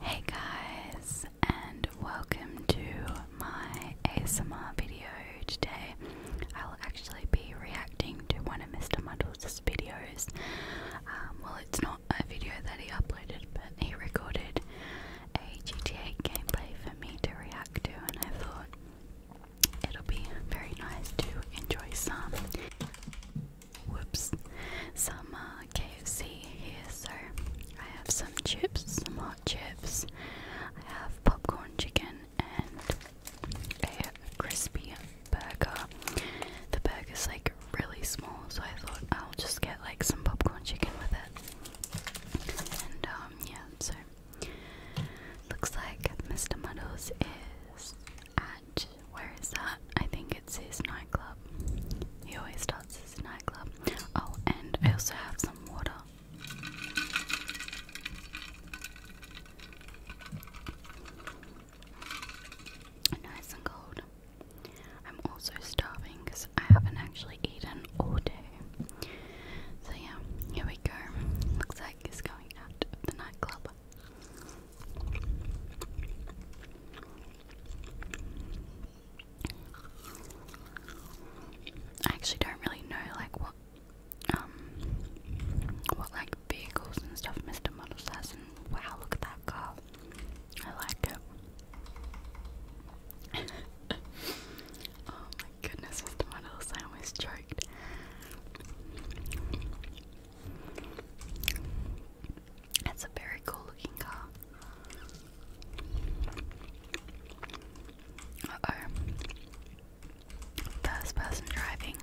Hey guys, and welcome to my ASMR video today. I'll actually be reacting to one of Mr. Muddles' videos. Um, well, it's not a video that he uploaded, but he recorded a GTA gameplay for me to react to, and I thought it'll be very nice to enjoy some. Whoops. Some uh, KFC here, so I have some chips, some hot chips. I have popcorn chicken and a crispy burger. The is like really small, so I thought I'll just get like some popcorn chicken with it. And um, yeah, so looks like Mr. Muddles is at where is that? I think it's his nightclub. He always starts his nightclub. Oh, and I also have some water. Nice and cold. I'm also starving because I haven't actually eaten all day. So, yeah, here we go. Looks like he's going out of the nightclub. I actually don't really know like what um what like vehicles and stuff Mr. Models has wow look at that car. I like it. oh my goodness Mr. Models, I almost choked. That's a very cool looking car. oh. First person driving.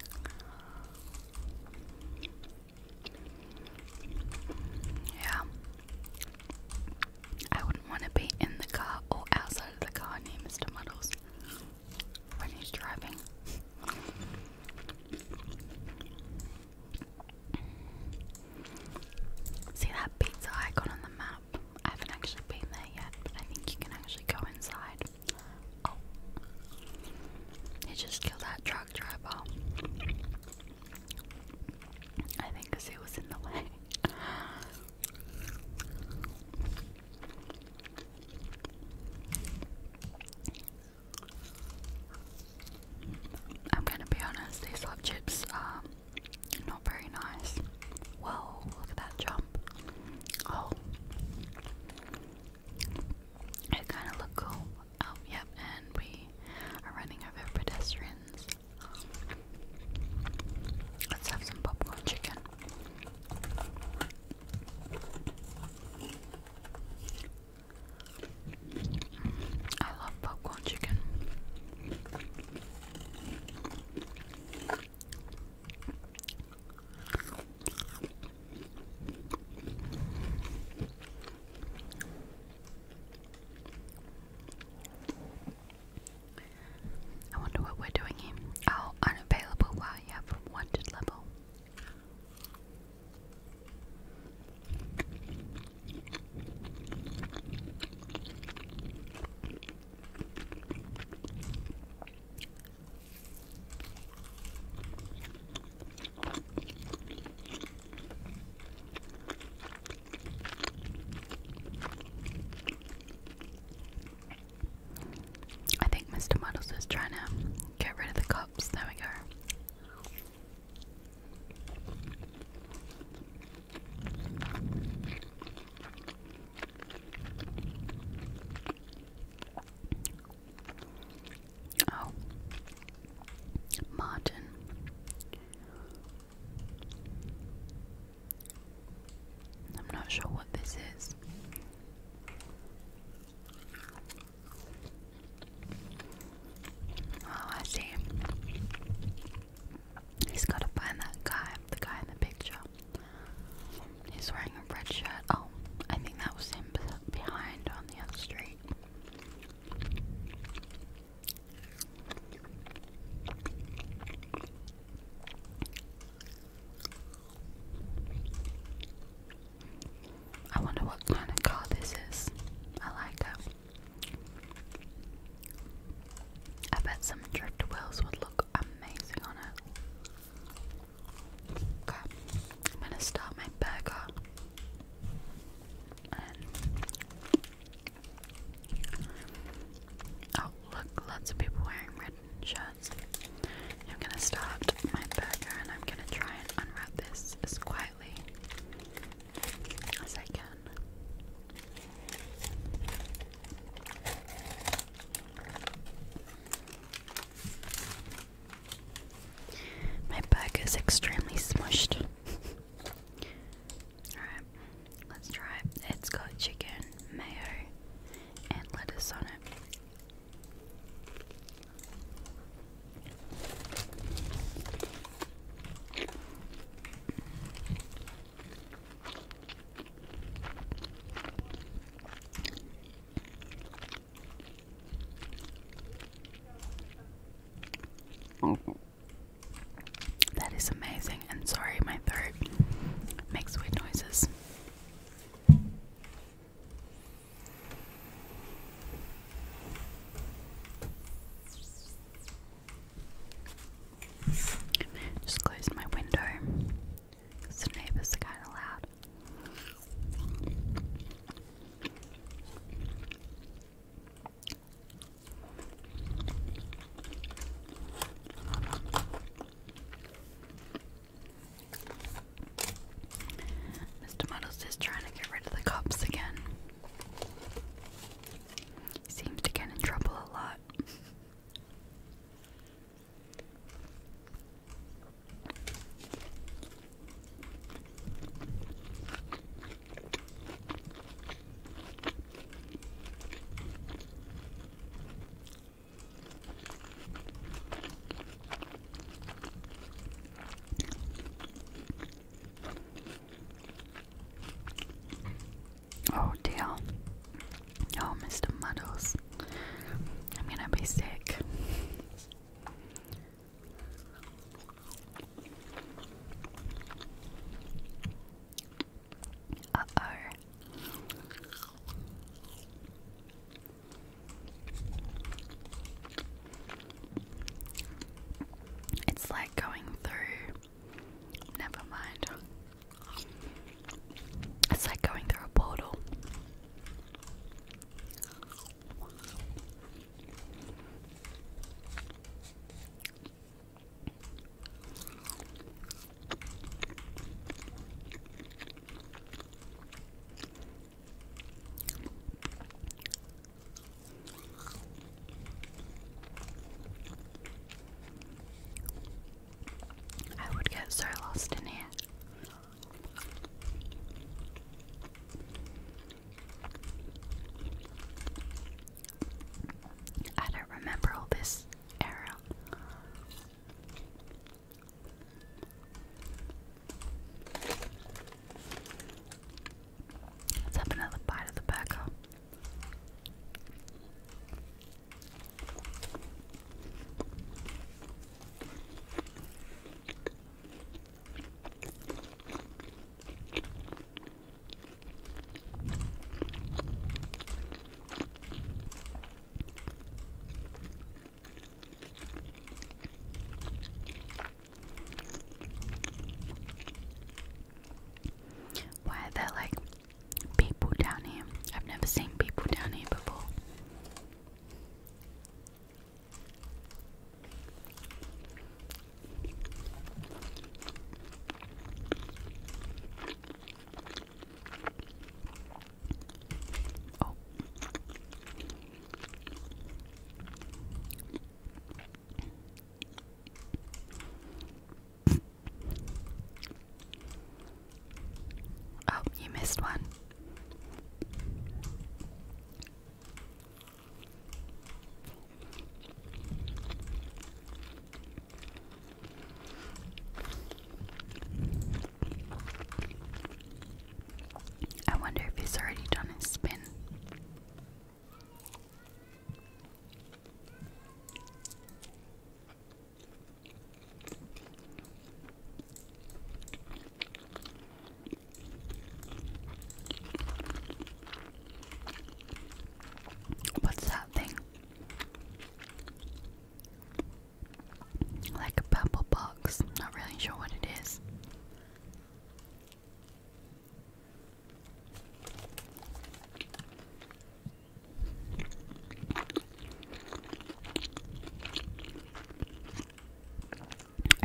Yeah. I wouldn't want to be in the car or outside of the car near Mr. Muddles when he's driving. See that pizza icon on the map? I haven't actually been there yet, but I think you can actually go inside. Oh. He just killed that truck driver. I think because he was in the way. I'm gonna be honest, these love chips are not very nice. Whoa, look that jump. Oh. It kind of looked cool. Oh, yep, and we are running over pedestrians. Let's have some popcorn chicken. I love popcorn chicken. I wonder what we're doing here. Oh, unavailable. Wow, yeah, wanted level. I think Mr. Muddles is trying to get rid of the cops. There we go. Oh, Martin. I'm not sure what this is. Oh, I see. He's got to find that guy, the guy in the picture. He's wearing a red shirt. Oh, I think that was him behind on the other street. I wonder what kind of car this is. I like it. I bet some drift driftwills would look amazing on it. I'm gonna start my burger. oh, look, lots of people wearing red shirts. I'm gonna start my burger and I'm gonna try and unwrap this as as I can. My bag is extremely smushed. Alright, let's try it. It's got chicken, mayo, and lettuce on it. That is amazing, and sorry, my throat makes weird noises. Just close my window because neighbors are kind of loud. Mr. Muddles is trying to get rid of the cops again. He seems to get in trouble a lot. Oh dear. Oh, Mr. Muddles. I'm gonna be sick. Uh oh. It's like going through. Never mind. It's like going through a portal. I would get so lost in here. I don't remember all this era. Let's have another bite of the burger. Why are there like people down here? I've never seen people down here before. Oh, you missed one. I wonder if he's already done his spin. What's that thing? Like a purple box. Not really sure what it is.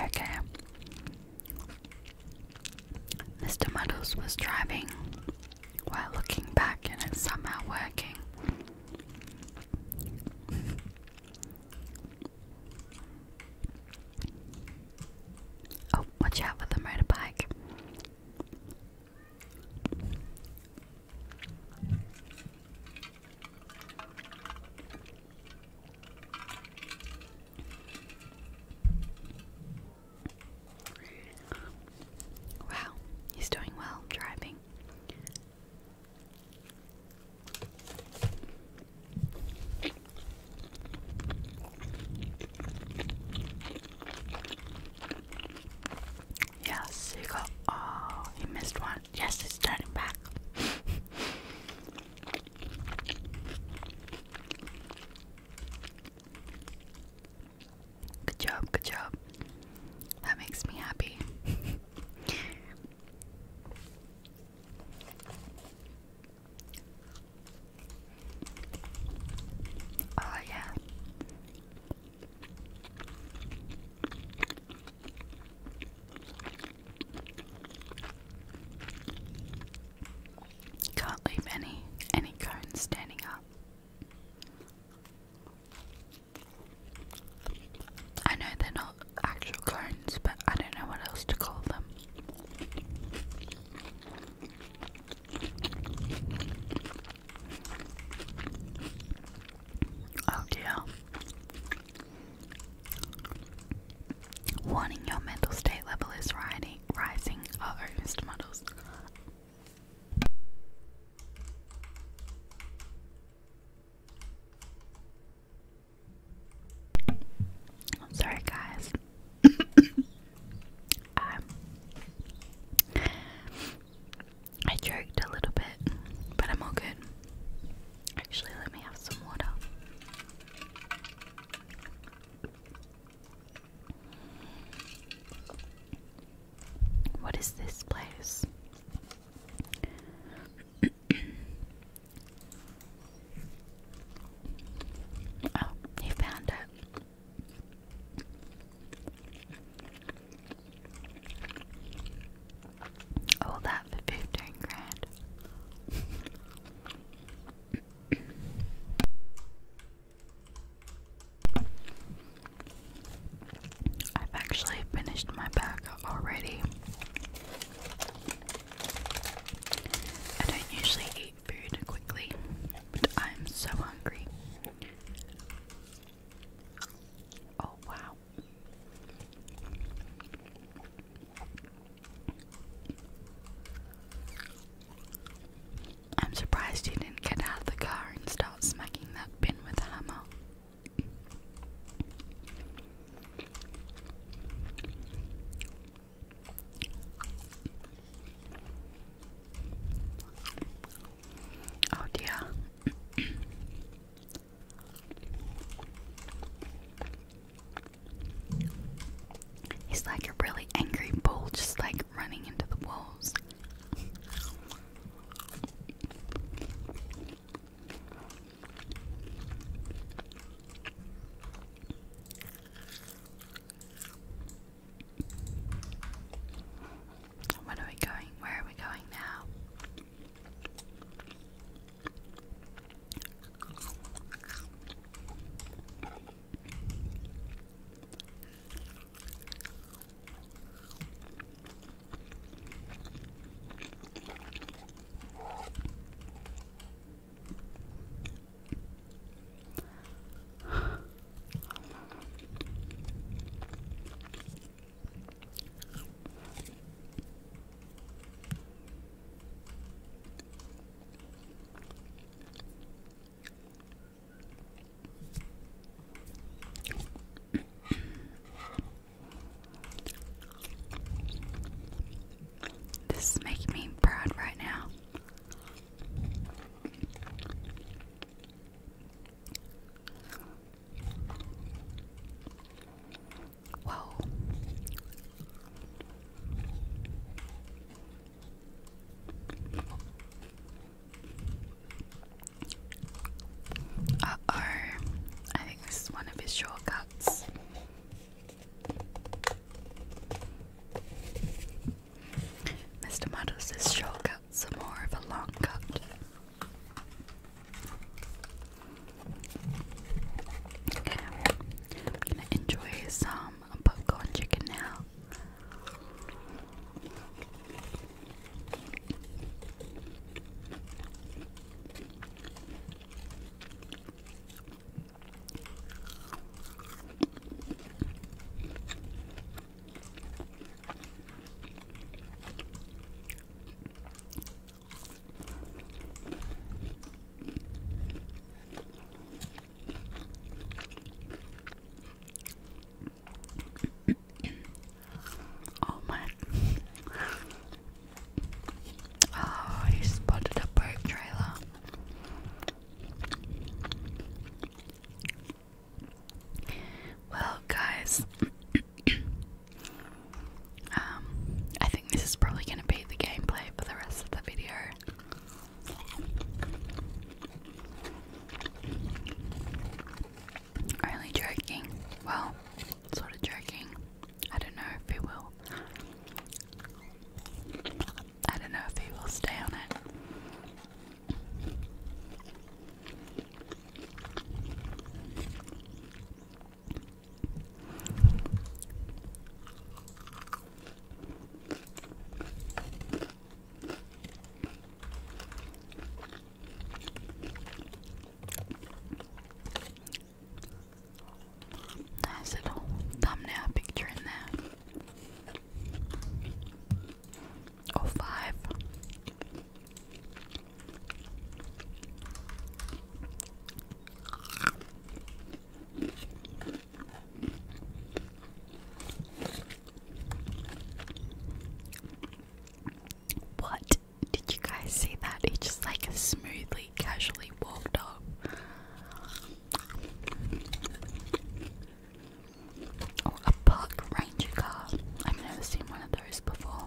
Okay. Mr. Muddles was driving while looking back and it's somehow working. Oh, watch out for the motorbike. Wow, he's doing well driving. Yes, he got. Oh, He missed one. Yes, he's turning back. good job, good job. That makes me happy. Oh, yeah. Can't leave any any cones standing up. I know they're not actual cones, but I don't know what else to call them. Oh dear. Warning your mental state level is riding, rising. oh, Mr. Muddles. Sorry, guys. Um, I joked a little bit, but I'm all good. Actually, let me have some water. What is this place? Oh, he found it. All that for fifteen grand. I've actually finished my burger already. I don't usually eat eat quickly, but I'm so hungry. Oh, wow. I'm surprised you didn't get out the car and start smacking that bin with a hammer. Oh dear. He's like a really angry bull, just like running into the walls. What are we going? Where are we going now? This is me proud right now. Whoa. Uh oh, I think this is one of his shortcuts. Mr. Muddles' shortcuts are more of a long cut. Okay, I'm gonna enjoy some popcorn chicken now. Oh my! Oh, he spotted a boat trailer. Well, guys, um, I think this is probably going to be the gameplay for the rest of the video. Only joking. Well, sort of joking. I don't know if it will. I don't know if he will stay on it. Nice little thumbnail picture in there. Oh five! What did you guys see that? He just like smoothly, casually walked up. Oh, a park ranger car. I've never seen one of those before.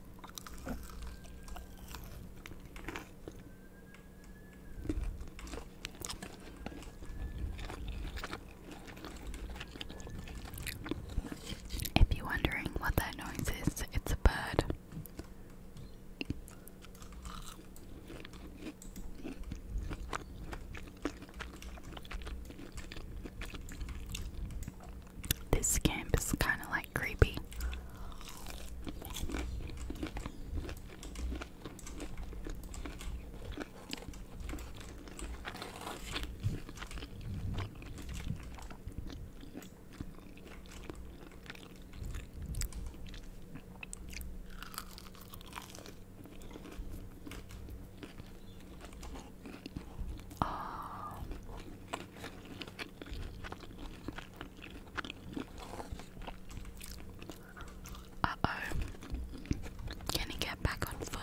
If you're wondering what that noise is, it's a bird. This camp is kind of like creepy. Uh oh. Can he get back on foot?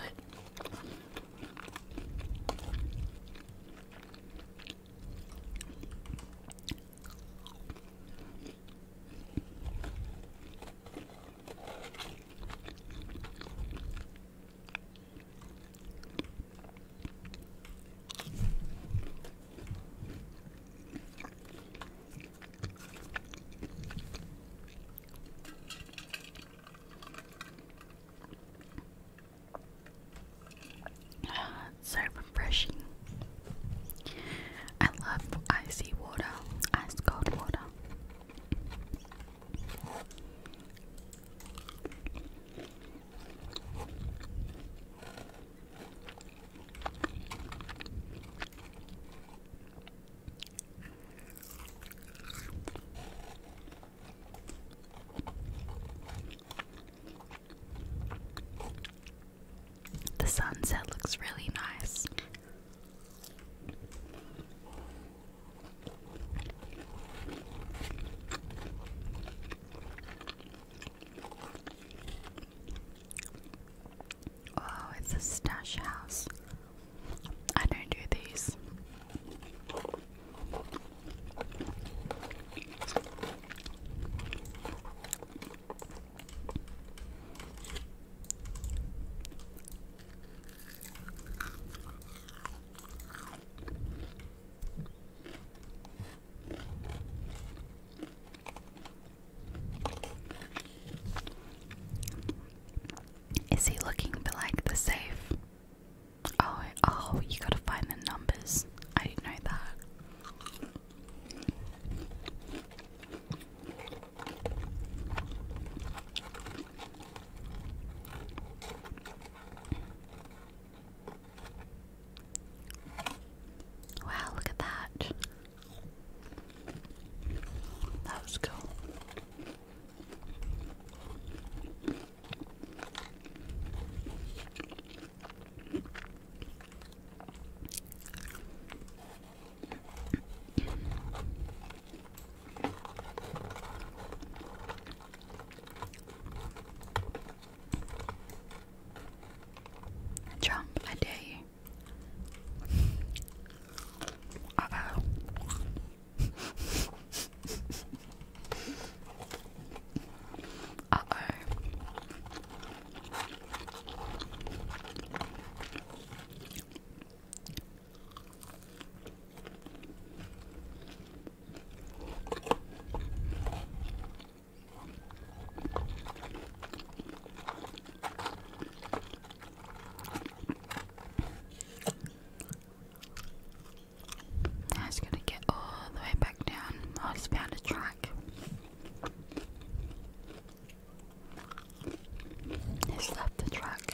So refreshing. I love icy water, ice cold water. The sunset looks really nice. Oh, it's a stash house. I don't do these. Is he looking for like the safe? Oh, oh, you gotta find the numbers. I didn't know that. Wow, look at that. That was cool. Jump, I dare you. Uh oh. uh oh it's going to get all the way back down. Oh, it's found a track. It's left the track.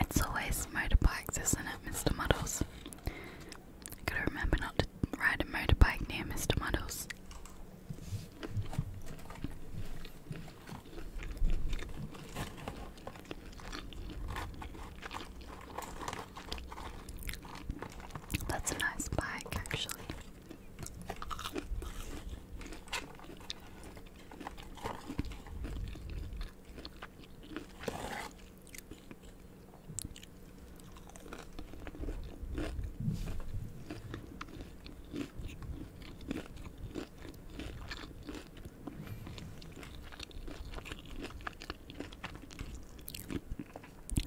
It's always motorbikes, isn't it, Mr. Muddles? gotta remember not to ride a motorbike near Mr. Muddles. That's a nice bike, actually.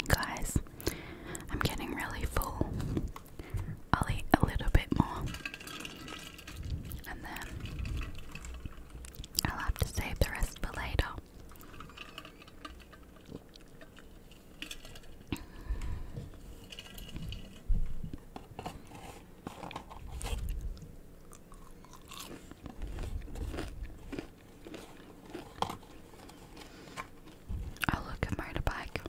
Guys, I'm getting really full. I'll eat a little bit more and then I'll have to save the rest for later. Oh look, a motorbike.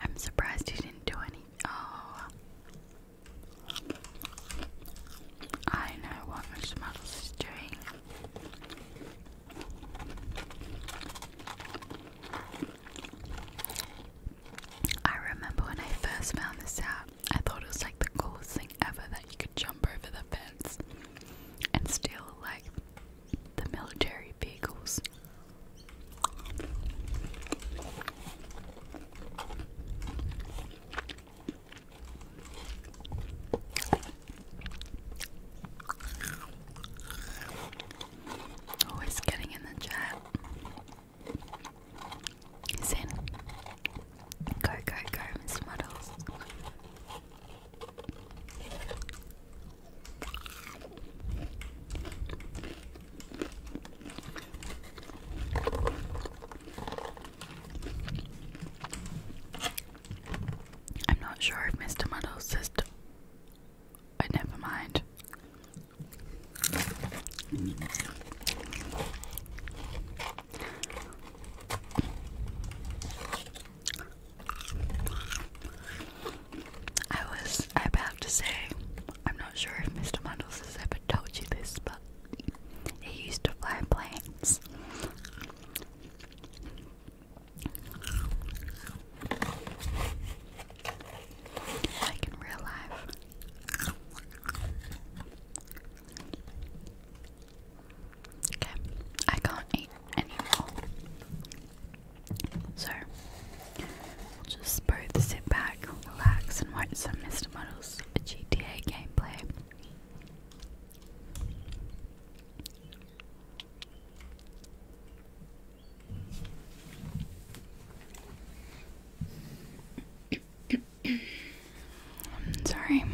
I'm surprised you didn't do anything. Oh. I know what Mr. Muddles is doing. I remember when I first found this out, I thought it was like the coolest thing ever that you could jump over the fence and steal like the military vehicles. Always oh, getting in the chat. He's Go, go, go, Miss Muddles. I'm not sure if Mr. Muddle's sister. But uh, never mind. I was about to say, I'm not sure if Mr. Mundles has ever told you this, but he used to fly planes. in real life. Okay, I can't eat anymore. So, we'll just both sit back, relax, and watch some Mr. Muddle's GTA gameplay. sorry.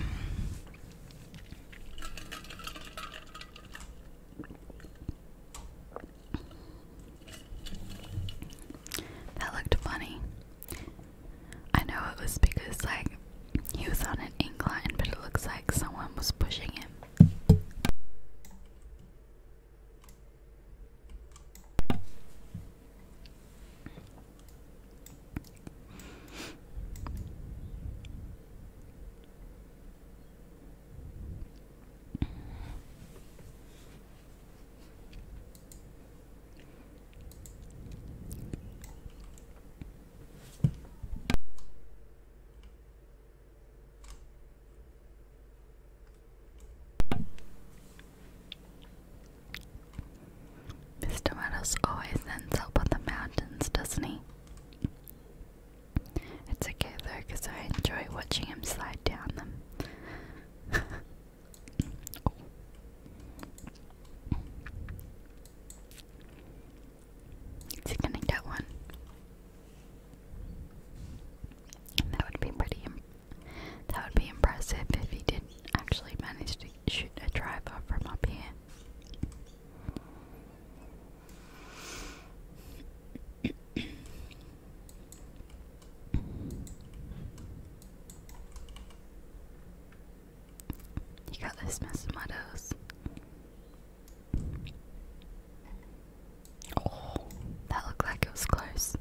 That looked funny. I know it was because, like, he was on an incline, but it looks like someone was pushing him. Mr. Meadows always ends up the mountains, doesn't he? It's okay though, because I enjoy watching him slide down them. Is he gonna get one? That would be pretty. That would be impressive if he did actually manage to shoot a driver from up here. You got this, Mrs. Meadows. Oh, that looked like it was close.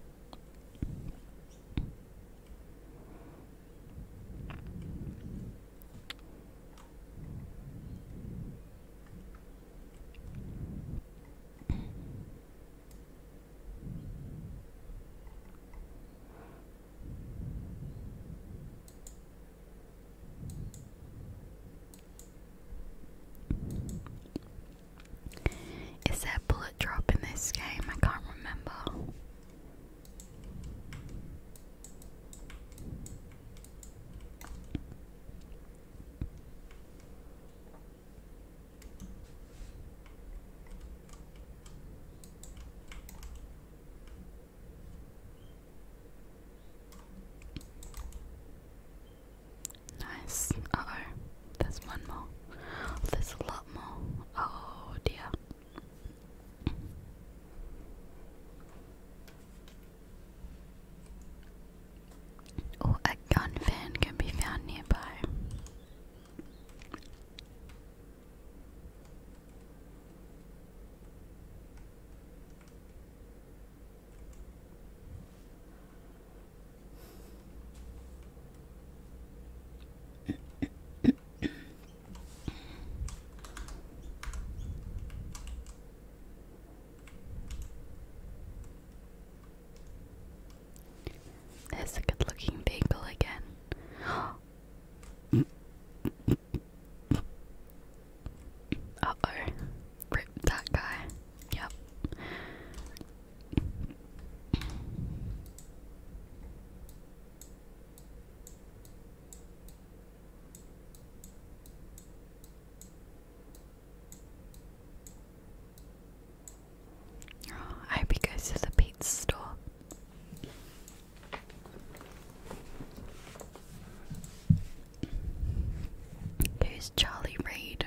Is that bullet drop in this game? I can't remember. Nice. oh, there's one more. There's a lot more. Oh dear. Oh, a gun fan can be found nearby. There's a good looking vehicle again. uh oh. Rip that guy. Yep. I hope he goes to the pizza store. Who's Charlie Reed?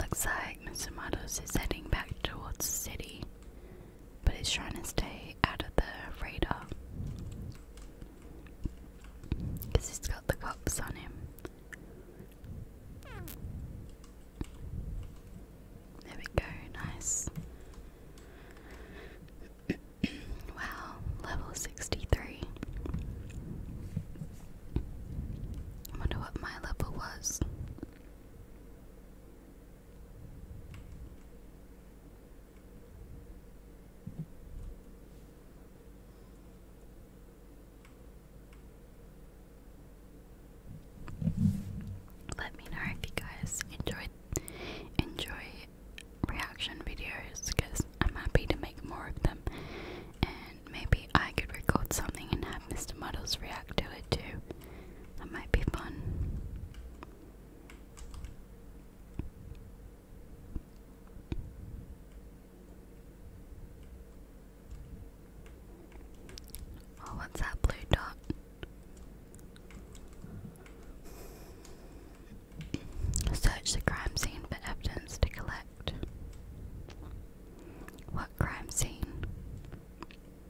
Looks like Mr. Matos is heading back towards the city but he's trying to stay out of the radar because he's got the cops on him. There we go, nice. wow, level 63. I wonder what my level was. Let me know if you guys enjoyed enjoy reaction videos because I'm happy to make more of them and maybe I could record something and have Mr. Models react to it too. That might be fun. Oh, what's that blue dot? Search the crime scene for evidence to collect. What crime scene?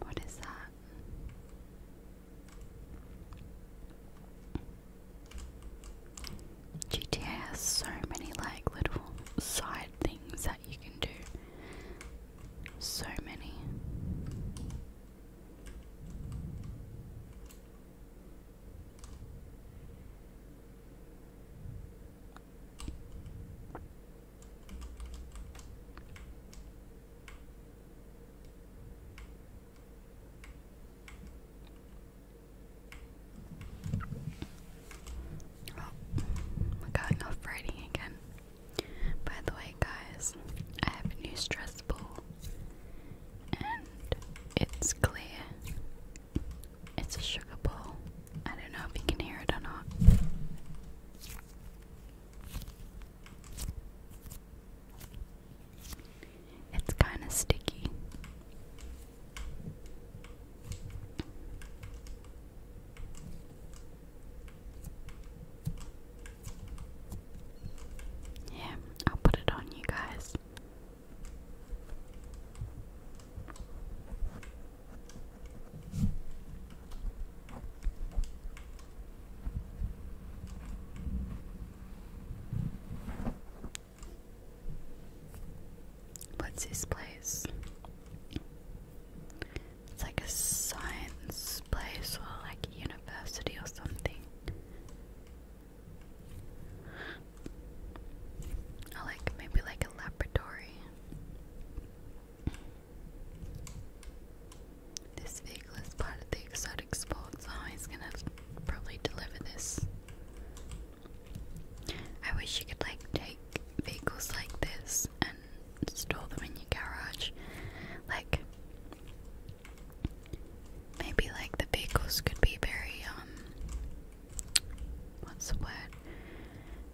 What is that? GTA has so many like little side things that you can do. So many. Oh, we going off writing again. By the way, guys, I have a new stress ball and it's clear. It's a sugar bowl. I don't know if you can hear it or not. It's kind of sticky. Yeah, I'll put it on you guys. What's this place? It's like a science place or like a university or something. like maybe like a laboratory. This vehicle is the exotic sports. Oh, he's gonna probably deliver this. I wish you could like take vehicles like this and store them in your garage. Like maybe like the vehicles could be very um what's the word?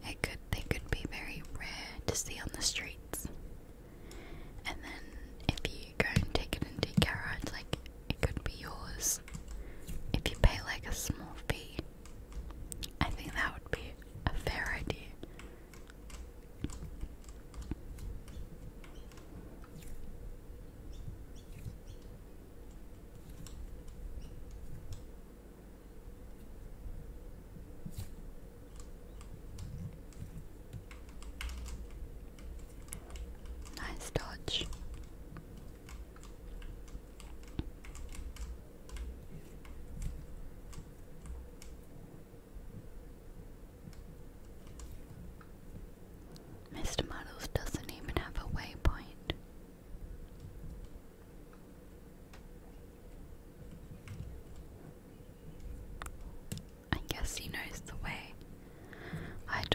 It could they could be very rare to see on the streets. And then if you go and take it into garage, like it could be yours. If you pay like a small fee. I think that would be a fair idea. Nice dodge. Mr. Muddles doesn't even have a waypoint. I guess he knows the way. I don't.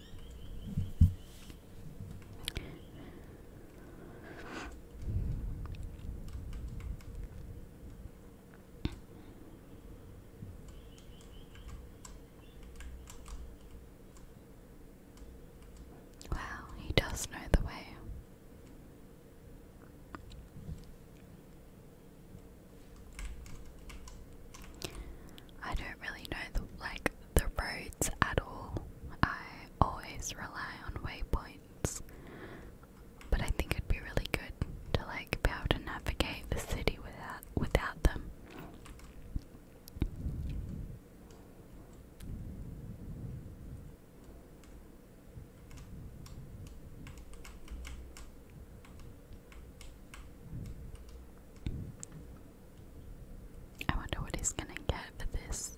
Wow, he does know the way. I don't really know the like the roads at all. I always rely on waypoints, but I think it'd be really good to like be able to navigate the city without without them. I wonder what he's gonna get for this.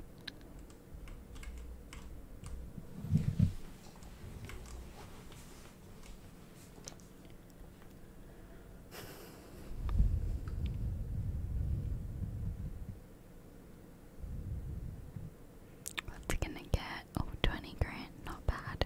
What's he gonna get? Oh, grand, not bad.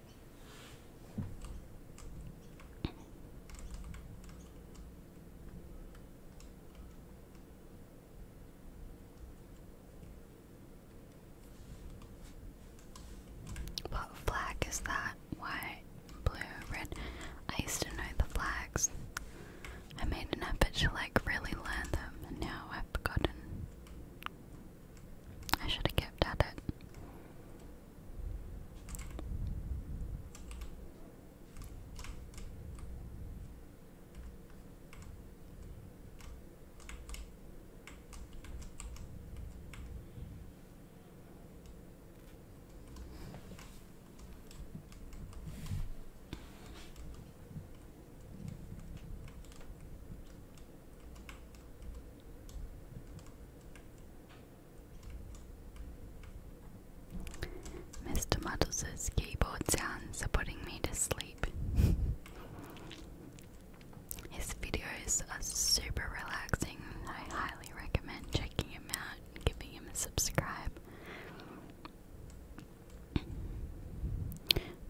What flag is that? White, blue, red. I used to know the flags. I made an effort to like really learn them and now I've forgotten. I should have kept at it. Mr. Muddles' keyboard sounds are putting me to sleep. His videos are super relaxing. I highly recommend checking him out and giving him a subscribe.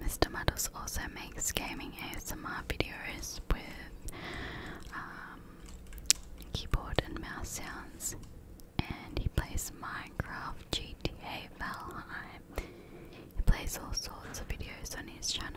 Mr. Muddles also makes gaming ASMR videos with um, keyboard and mouse sounds, and he plays Minecraft, GTA, Valheim. He plays all sorts of videos on his channel.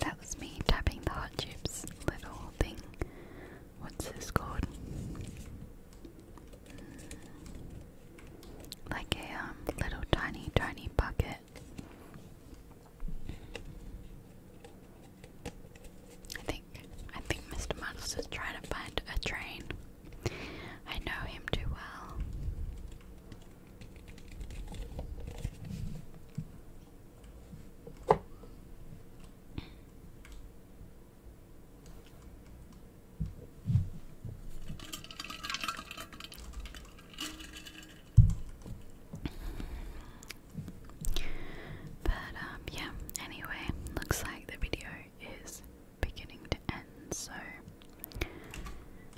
That was me tapping the hot chips little thing. What's this called? Mm. Like a um, little tiny, tiny bucket. I think I think Mr. Muddles is trying to find a train. I know him too well. But um, yeah, anyway, looks like the video is beginning to end, so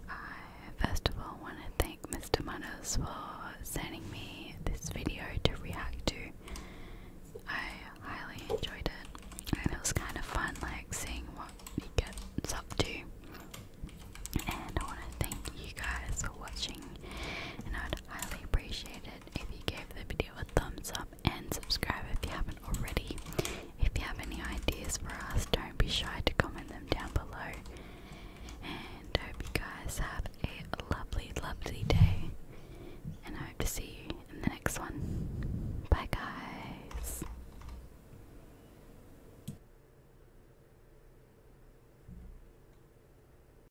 I first of all want to thank Mr. Manners for sending me this video to react to. I highly enjoyed it and it was kind of fun like seeing what he gets up to. And I want to thank you guys for watching and I'd highly appreciate it if you gave the video a thumbs up and subscribe if you haven't already. If you have any ideas for us, don't be shy to comment them down below. And I hope you guys have a lovely, lovely day. And I hope to see you in the next one. Bye, guys.